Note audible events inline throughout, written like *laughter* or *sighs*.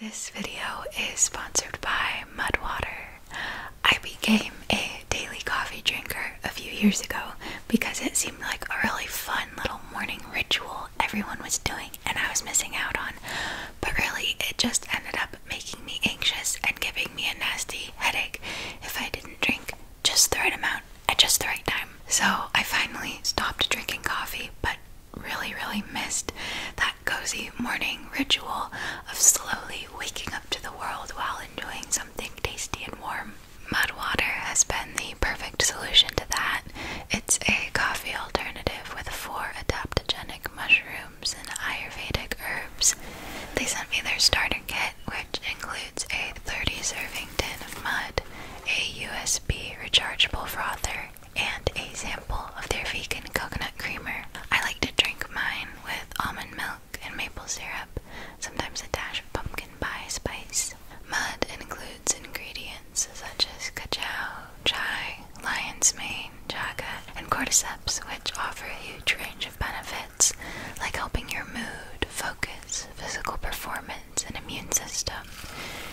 This video is sponsored by Mudwater. I became a daily coffee drinker a few years ago because it seemed like a really fun little morning ritual everyone was doing and I was missing out on. But really, it just ended up making me anxious and giving me a nasty headache if I didn't drink just the right amount at just the right time. So I finally stopped drinking coffee, but really, really missed that cozy morning ritual of slowly waking up to the world while enjoying something tasty and warm. Mud water has been the perfect solution to that. It's a coffee alternative with four adaptogenic mushrooms and Ayurvedic herbs. They sent me their starter kit, which includes a 30 serving tin of mud, a USB rechargeable frother, and a sample of their vegan coconut creamer. I like to drink mine with almond milk and maple syrup, sometimes a dash of pumpkin pie spice. Mud includes ingredients such as cacao, chai, lion's mane, chaga, and cordyceps, which offer a huge range of benefits like helping your mood, focus, physical performance, and immune system.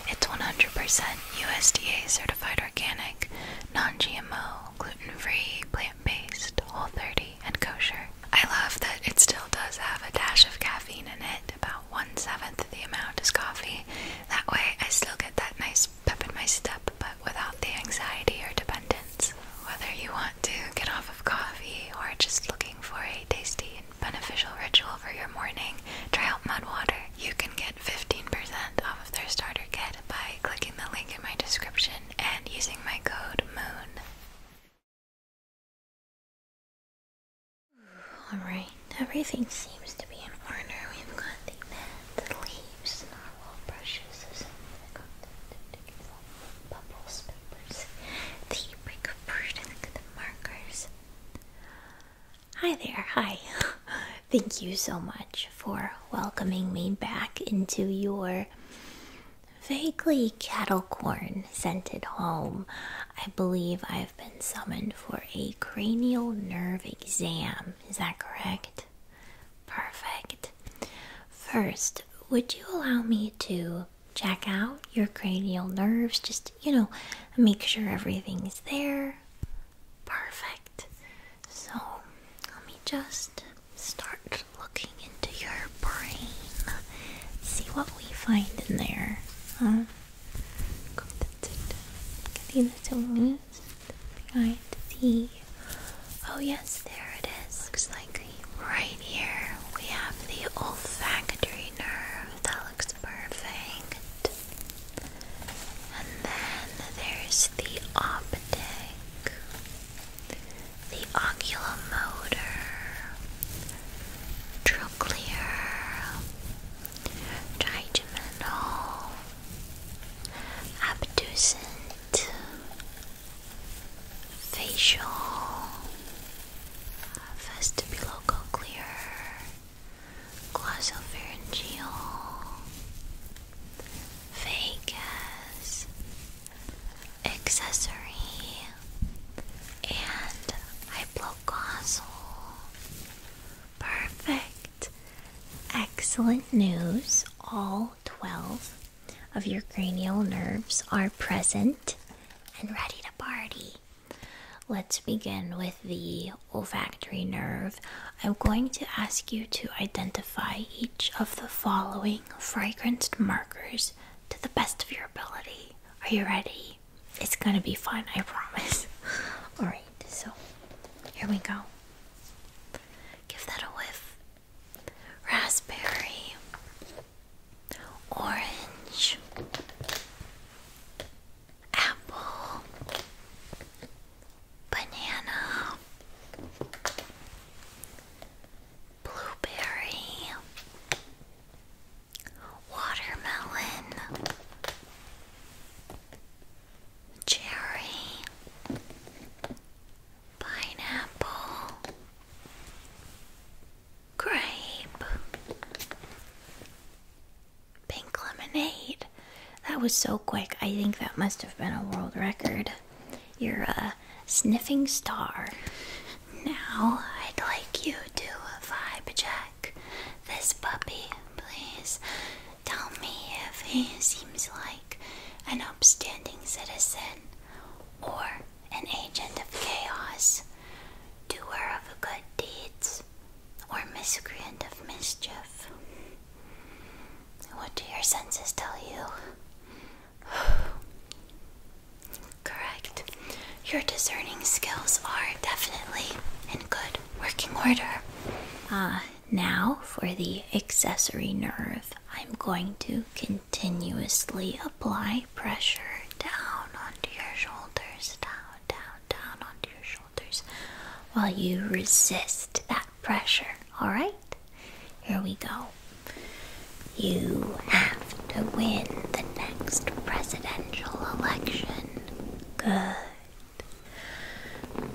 It's 100% USDA certified organic, non GMO, gluten free, plant based, all 30, and kosher. I love that it still does have a dash of caffeine in it, about one seventh the amount as coffee. That way, I still get that nice pep in my step, but without the anxiety or dependence. Whether you want to get off of coffee or just looking for a tasty and beneficial ritual for your morning, try out mud water. You can get get 15% off of their starter kit by clicking the link in my description and using my code MOON. Alright, everything seems to be in order. We've got the mat, the brushes, the bubbles, the markers. Hi there, hi. *laughs* Thank you so much for welcoming me back into your vaguely cattle corn scented home. I believe I've been summoned for a cranial nerve exam. Is that correct? Perfect. First, would you allow me to check out your cranial nerves? Just, you know, make sure everything's there. Perfect. So, let me just start looking into your brain. See what we find in there. Huh? See the tools behind the. Oh, yes, there it is. Looks like right here we have the olfactory nerve. That looks perfect. And then there's the optic, the oculomotor, trochlear, trigeminal, abducent, facial, vestibulocochlear, glossopharyngeal, vagus, accessory, and hypoglossal. Perfect! Excellent news. All 12 of your cranial nerves are present and ready to party. Let's begin with the olfactory nerve, I'm going to ask you to identify each of the following fragranced markers to the best of your ability. Are you ready? It's gonna be fun, I promise. *laughs* Alright, so here we go. Give that a whiff. Raspberry, orange, apple, banana, blueberry, watermelon, cherry, pineapple. Grape, Pink lemonade. That was so quick. I think that must have been a world record. You're a sniffing star. Now, I'd like you to a vibe check this puppy, please. Tell me if he seems like an upstanding citizen or an agent of chaos, doer of good deeds, or miscreant of mischief. What do your senses tell you? *sighs* Correct. Your discerning skills are definitely in good working order. Ah, now for the accessory nerve. I'm going to continuously apply pressure down onto your shoulders, down, down, down onto your shoulders while you resist that pressure, alright? Here we go. You have to win the next presidential election. Good.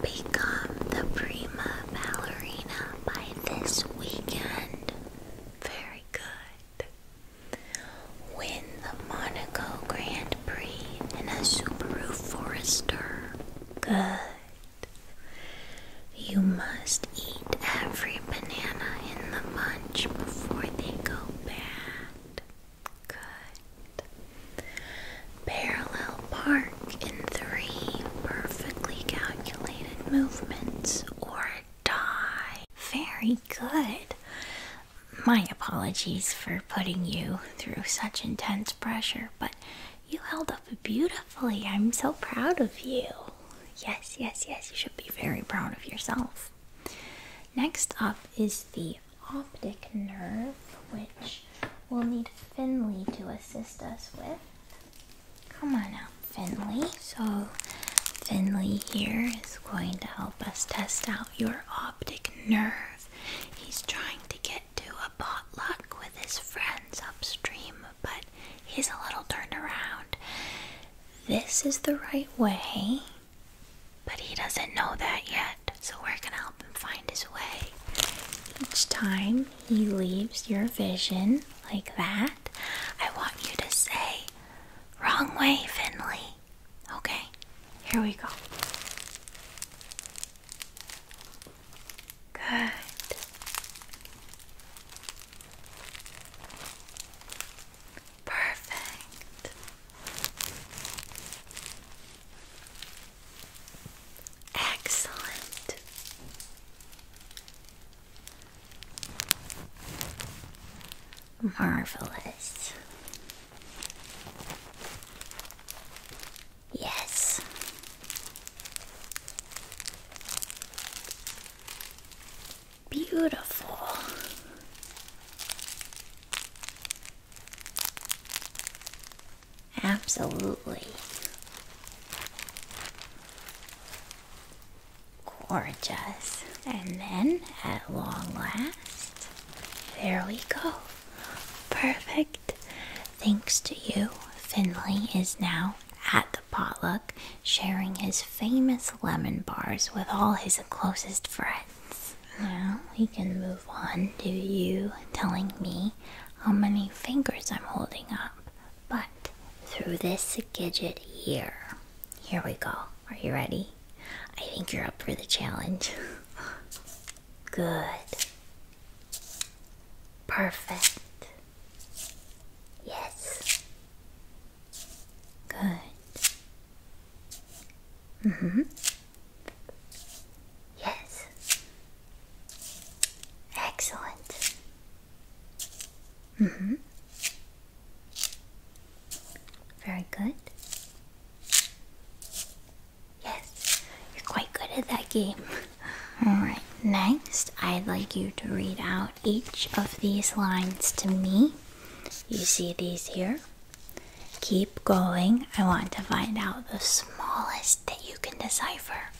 Become the prima ballerina by this weekend. Very good. Win the Monaco Grand Prix in a Subaru Forester. Good. You must eat every banana in the bunch before they go bad. Good. Parallel park in three perfectly calculated movements or die. Very good. My apologies for putting you through such intense pressure, but you held up beautifully. I'm so proud of you. Yes, yes, yes. You should be very proud of yourself. Next up is the optic nerve, which we'll need Finley to assist us with. Come on out, Finley. So, Finley here is going to help us test out your optic nerve. He's trying to get to a potluck with his friends upstream, but he's a little turned around. This is the right way, but he doesn't know that yet, so we're gonna help him find his way. Each time he leaves your vision like that, I want you to say, Wrong way, Finley. Okay, here we go. Good. Perfect. Excellent. Marvelous. Yes. Beautiful. Absolutely. Gorgeous. And then, at long last, there we go. Perfect Thanks to you, Finley is now at the potluck sharing his famous lemon bars with all his closest friends. Now we can move on to you telling me how many fingers I'm holding up, but through this gadget here. Here we go. Are you ready? I think you're up for the challenge. *laughs* Good. Perfect. Yes. Good. Mhm. Mm yes. Excellent. Mhm. Mm very good. Yes, you're quite good at that game. *laughs* Alright, next I'd like you to read out each of these lines to me. You see these here? Keep going. I want to find out the smallest that you can decipher.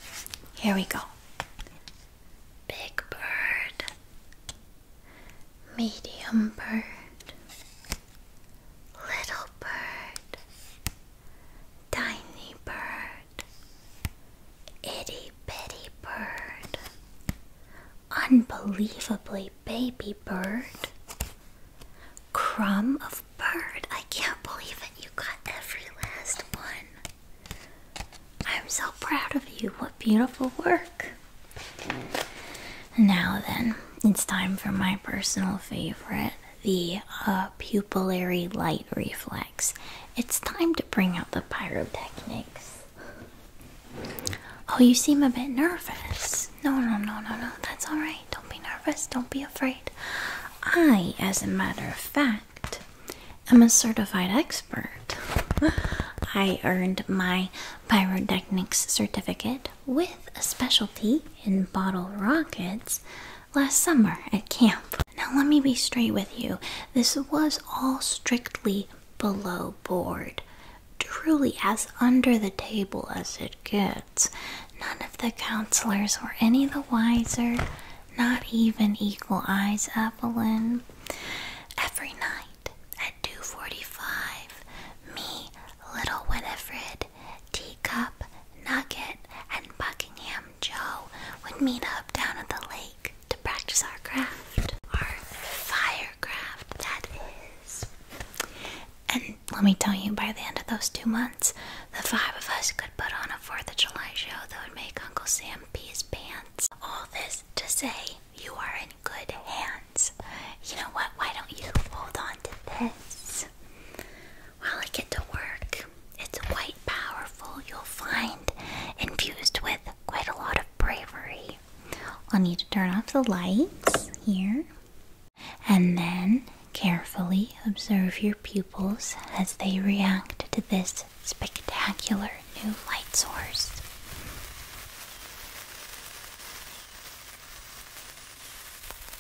Here we go. Big bird, medium bird, little bird, Tiny bird, itty bitty bird, unbelievably baby bird, crumb of bird. I can't believe it. You got every last one. I'm so proud of you. What beautiful work. Now then, it's time for my personal favorite the uh, pupillary light reflex. It's time to bring out the pyrotechnics. Oh, you seem a bit nervous. No, no, no, no, no. That's all right. Don't be nervous. Don't be afraid. I, as a matter of fact, am a certified expert. *laughs* I earned my pyrotechnics certificate with a specialty in bottle rockets last summer at camp. Now, let me be straight with you. This was all strictly below board, truly as under the table as it gets. None of the counselors were any the wiser, not even Equal Eyes Evelyn. Every night at 2:45, me, Little Winifred, Teacup, Nugget, and Buckingham Joe would meet up down at the lake to practice our craft, our fire craft, that is. And let me tell you, by the end of those two months, the five of us could put on a 4th of July show that would make Uncle Sam pee his pants. All this to say, you are in good hands. You know what? Why don't you hold on to this while I get to work? It's quite powerful, you'll find, infused with quite a lot of bravery. I'll need to turn off the lights here. And then carefully observe your pupils as they react to this spectacular new light source.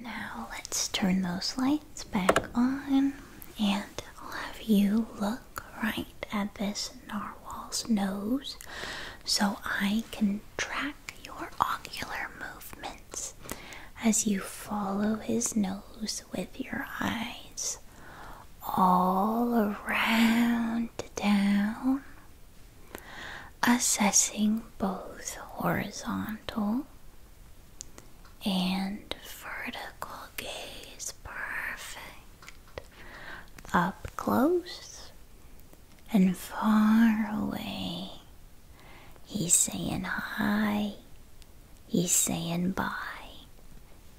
Now let's turn those lights back on and I'll have you look right at this narwhal's nose so I can track your ocular movements as you follow his nose with your eyes all around down, assessing both horizontal and vertical gaze. Perfect. Up close and far away. He's saying hi. He's saying bye.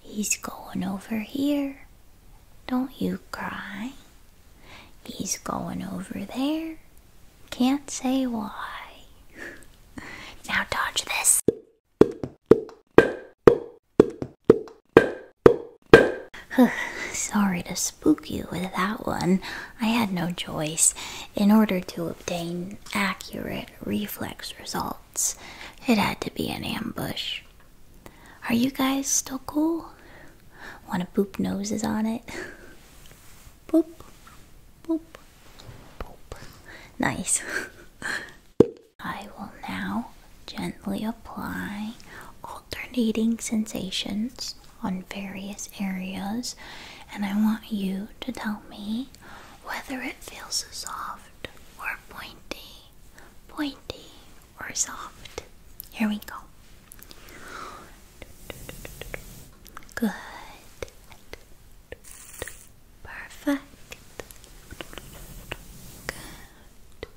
He's going over here. Don't you cry. He's going over there. Can't say why. *laughs* now dodge this. *sighs* Sorry to spook you with that one. I had no choice. In order to obtain accurate reflex results, it had to be an ambush. Are you guys still cool? Want to boop noses on it? boop, *laughs* boop, boop. Nice. *laughs* I will now gently apply alternating sensations on various areas, and I want you to tell me whether it feels soft or pointy, pointy or soft. Here we go. Good. Perfect. Good.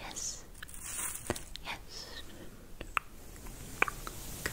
Yes. Yes. Good.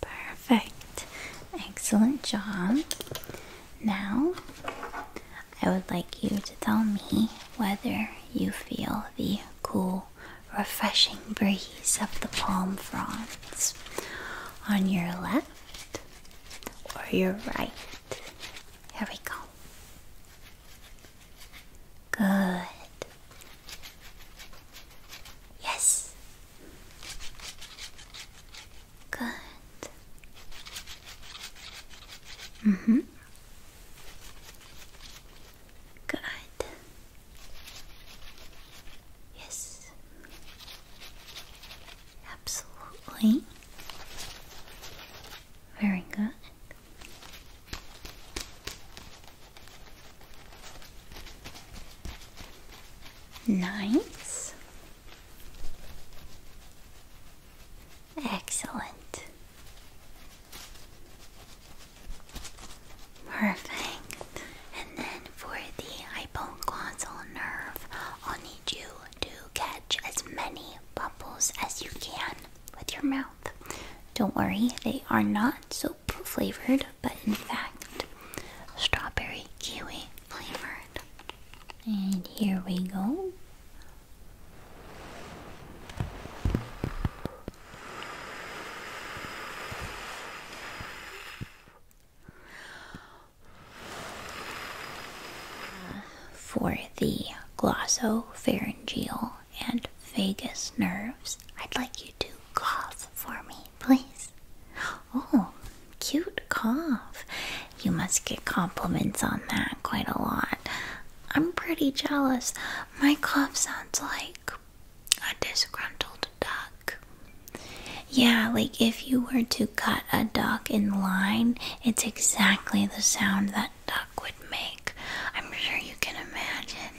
Perfect. Excellent job. Now, I would like you to tell me whether you feel the cool refreshing breeze of the palm fronds on your left or your right. Here we go. Good. Yes. Good. Mhm. Good. Yes. Absolutely. Very good. Nice. Excellent. Perfect. And then for the hypoglossal nerve, I'll need you to catch as many bubbles as you can with your mouth. Don't worry, they are not soap flavored, but in fact, strawberry kiwi flavored. And here we go. For the glossopharyngeal and vagus nerves, I'd like you to cough for me, please. Oh, cute cough. You must get compliments on that quite a lot. I'm pretty jealous. My cough sounds like a disgruntled duck. Yeah, like if you were to cut a duck in line, it's exactly the sound that duck would make. I'm sure you can imagine.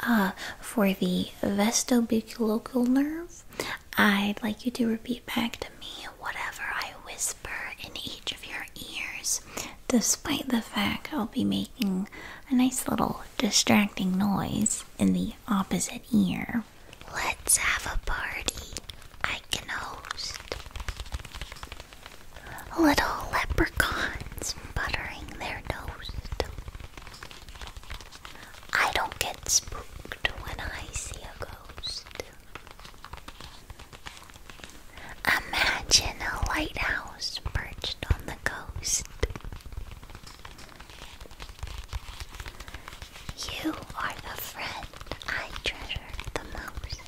Uh, for the vestibulocular nerve, I'd like you to repeat back to me whatever I whisper in each of your ears, despite the fact I'll be making a nice little distracting noise in the opposite ear. Let's have a party. I can host. Little leprechauns buttering their toast. I don't get spooked when I see a ghost. Imagine a lighthouse perched on the Ghost, You are the friend I treasure the most.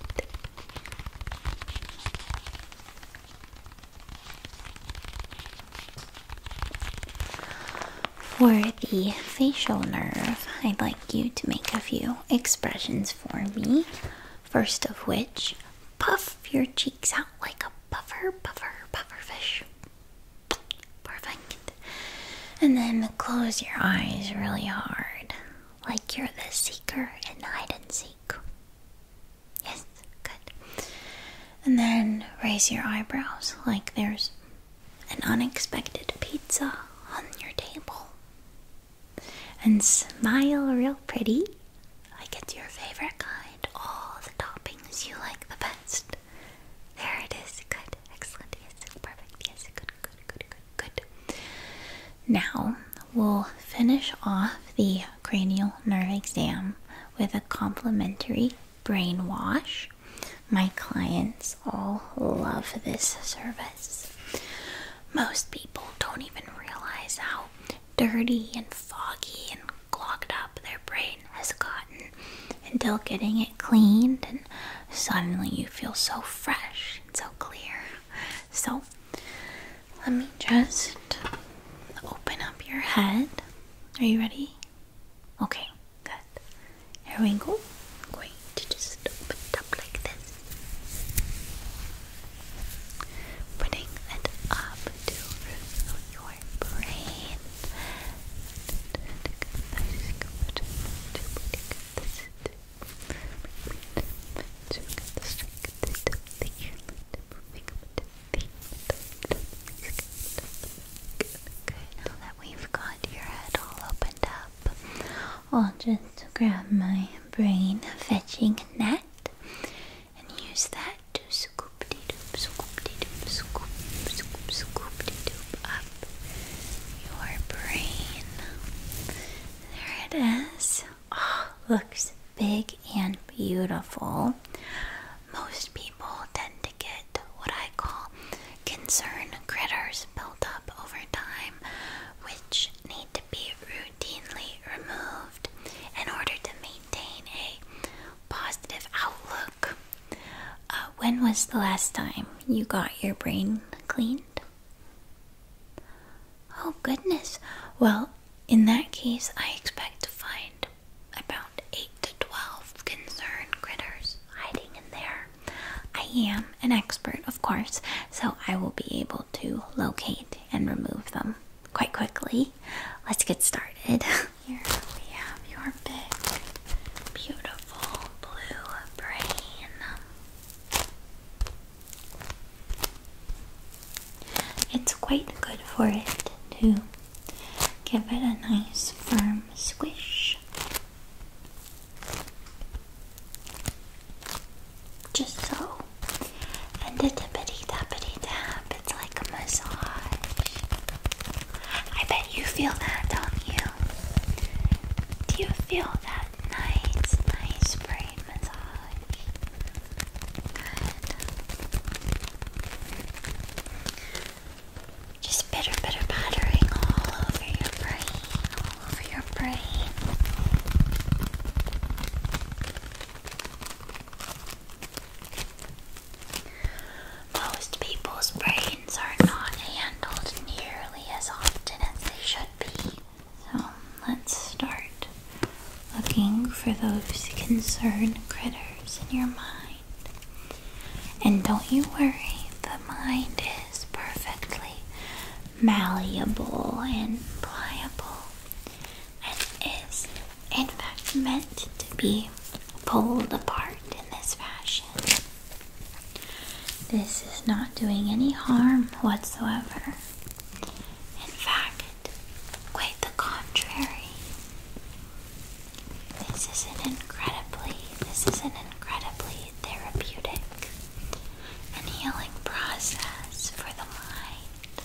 For the facial nerve, I'd like you to make a few expressions for me. First of which, puff your cheeks out like a puffer, puffer, puffer fish. Perfect. And then close your eyes really hard, like you're the seeker in hide and seek. Yes, good. And then raise your eyebrows like there's an unexpected pizza on your table. And smile real pretty like it's your favorite kind. All the toppings you like the best. There it is. Good. Excellent. Yes. Perfect. Yes. Good. Good. Good. Good. Good. Now we'll finish off the cranial nerve exam with a complimentary brainwash. My clients all love this service. Most people don't even realize how dirty and foggy and clogged up their brain has gotten until getting it cleaned and suddenly you feel so fresh and so clear. So let me just open up your head. Are you ready? Okay, good. Here we go. going to just open up like this. Putting it up to root your now that we've got your head all opened up, I'll just grab my brain fetching net and use that to scoop de doop, scoop de doop, scoop, scoop, scoop de doop up your brain. There it is. Oh, looks big and beautiful. Most people tend to get what I call concern critters built up over time, which need to be routinely removed in order to maintain maintain a positive outlook. Uh, when was the last time you got your brain cleaned? Oh, goodness. Well, in that case, I expect to find about 8 to 12 concerned critters hiding in there. I am an expert, of course, so I will be able to locate and remove them quite quickly. Let's get started. *laughs* Here we have your big, beautiful blue brain. It's quite good for it too. give it a nice firm squish. Just so and the tippity tappity tap. It's like a massage. I bet you feel that, don't you? Do you feel that nice, nice brain massage? Good. Just bitter, bitter pattering all over your brain, all over your brain. Most people's brains are not handled nearly as often as they should be. So let's start looking for those concerned critters in your mind. And don't you worry, the mind is perfectly malleable and pliable and is in fact meant to be pulled apart in this fashion. This is not doing any harm whatsoever. In fact, quite the contrary. This is an incredibly, this is an incredibly therapeutic and healing process for the mind.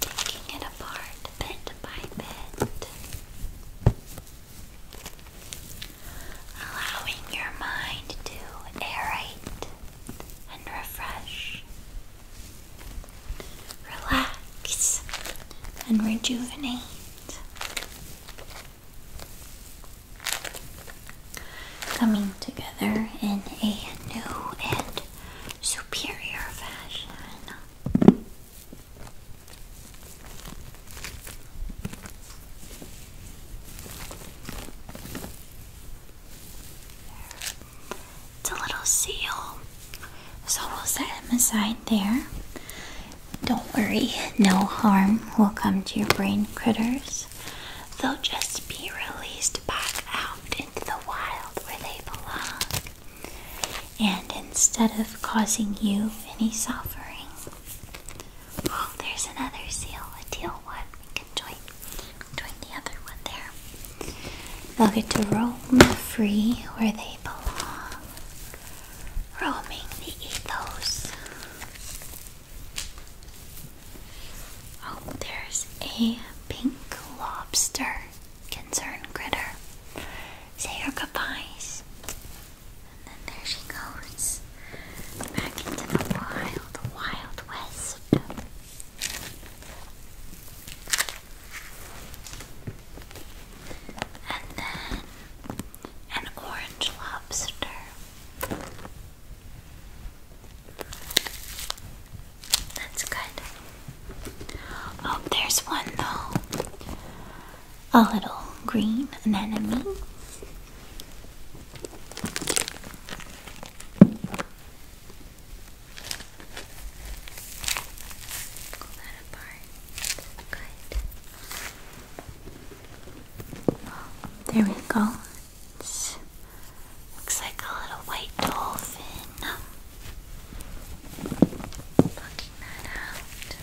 Taking it apart bit by bit, allowing your mind to aerate and refresh, relax and rejuvenate coming together in a new and superior fashion. It's a little seal, so we'll set him aside there. Don't worry, no harm will come to your brain critters. They'll just be released back out into the wild where they belong. And instead of causing you any suffering, oh, there's another seal, a teal one. We can join, join the other one there. They'll get to roam free where they belong, roaming the ethos Oh, there's a pink lobster concerned critter. Say your goodbyes. And then there she goes. Back into the wild, wild west. And then an orange lobster. That's good. Oh, there's one though. A little green anemone. Pull that apart. Good. There we go looks like a little white dolphin. Looking out.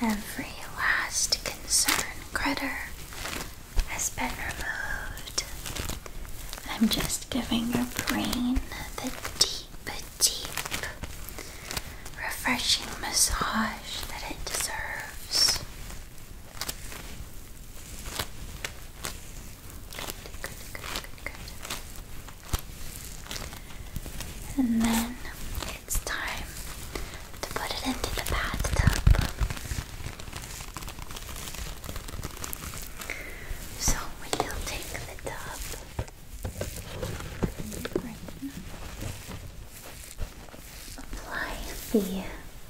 Every last concern critter has been removed. I'm just giving your brain the deep, deep, refreshing massage that it deserves. And then it's time to put it into the bathtub. So we'll take the tub. Right apply the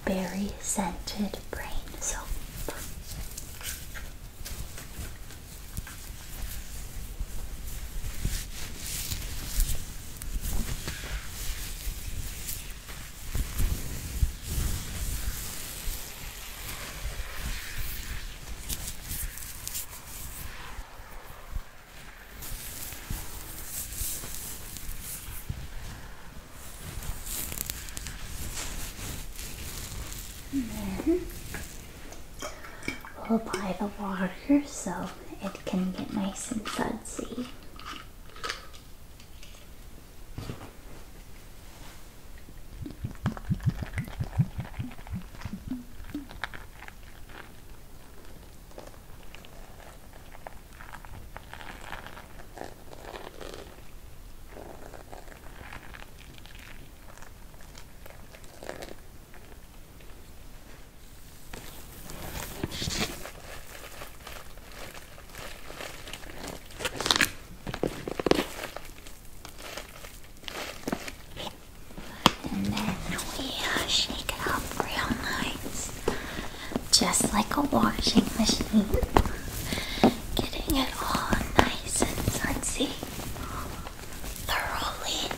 berry scented brain soap we'll apply the water so it can get nice and sudsy. And then we uh, shake it up real nice just like a washing machine, getting it all nice and sunsy thoroughly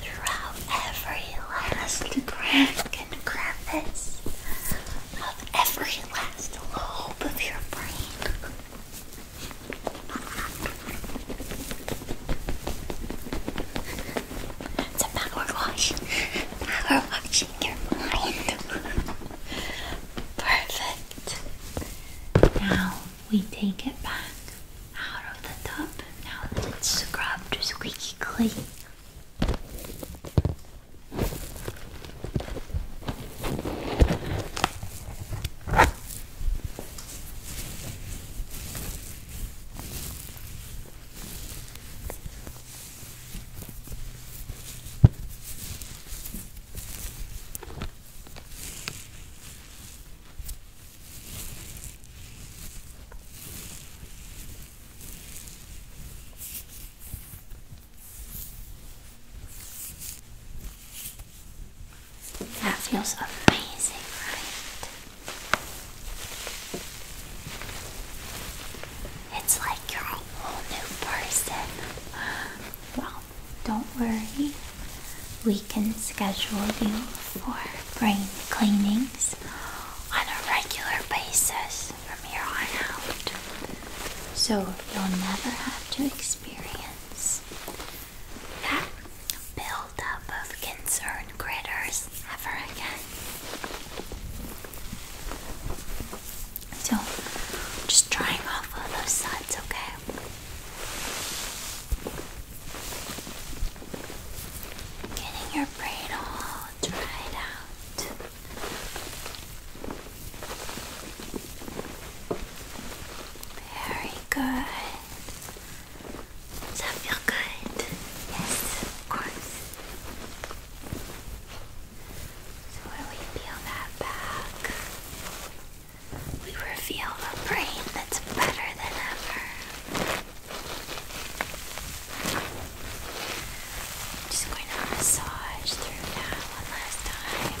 throughout every last crack and crevice of every last lobe of your brain. It's a power wash. Power washing your mind. Perfect. Now we take it back out of the tub. Now that it's scrubbed squeaky clean. That feels amazing, right? It's like you're a whole new person. Well, don't worry. We can schedule you for brain cleanings on a regular basis from here on out. So you'll never have to experience that buildup of concern critters ever again. So, just drying off all those sides, okay? Getting your braid all dried out. Very good. Does that feel good? Yes, of course. So when we peel that back, we reveal a brain that's better than ever. just going to massage through that one last time.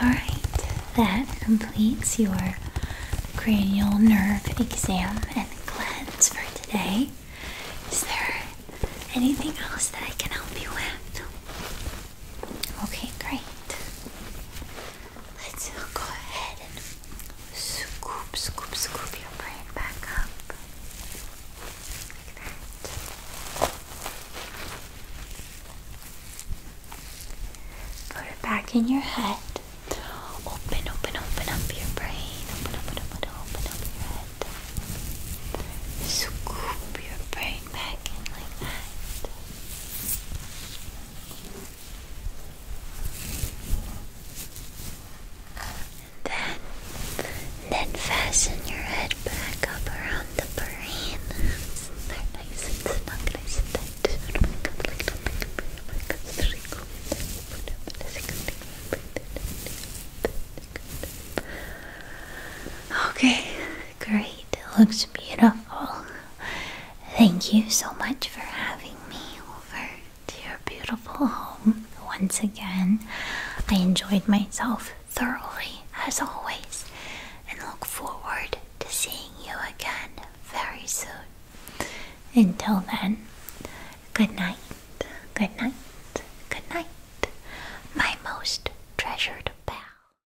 Alright, that completes your cranial nerve exam and cleanse for today. Is there anything else that I can help you with? Okay, great. Let's go ahead and scoop, scoop, scoop your brain back up. Like that. Put it back in your head. Open, open, open up your brain. Open, open, open, open up your head. Scoop your brain back in like that. Then, then fasten your head back up around the brain. they nice and snug, and tight. Okay, great. It looks beautiful. Thank you so much for having me over to your beautiful home once again. I enjoyed myself thoroughly as always and look forward to seeing you again very soon. Until then, good night, good night, good night, my most treasured pal.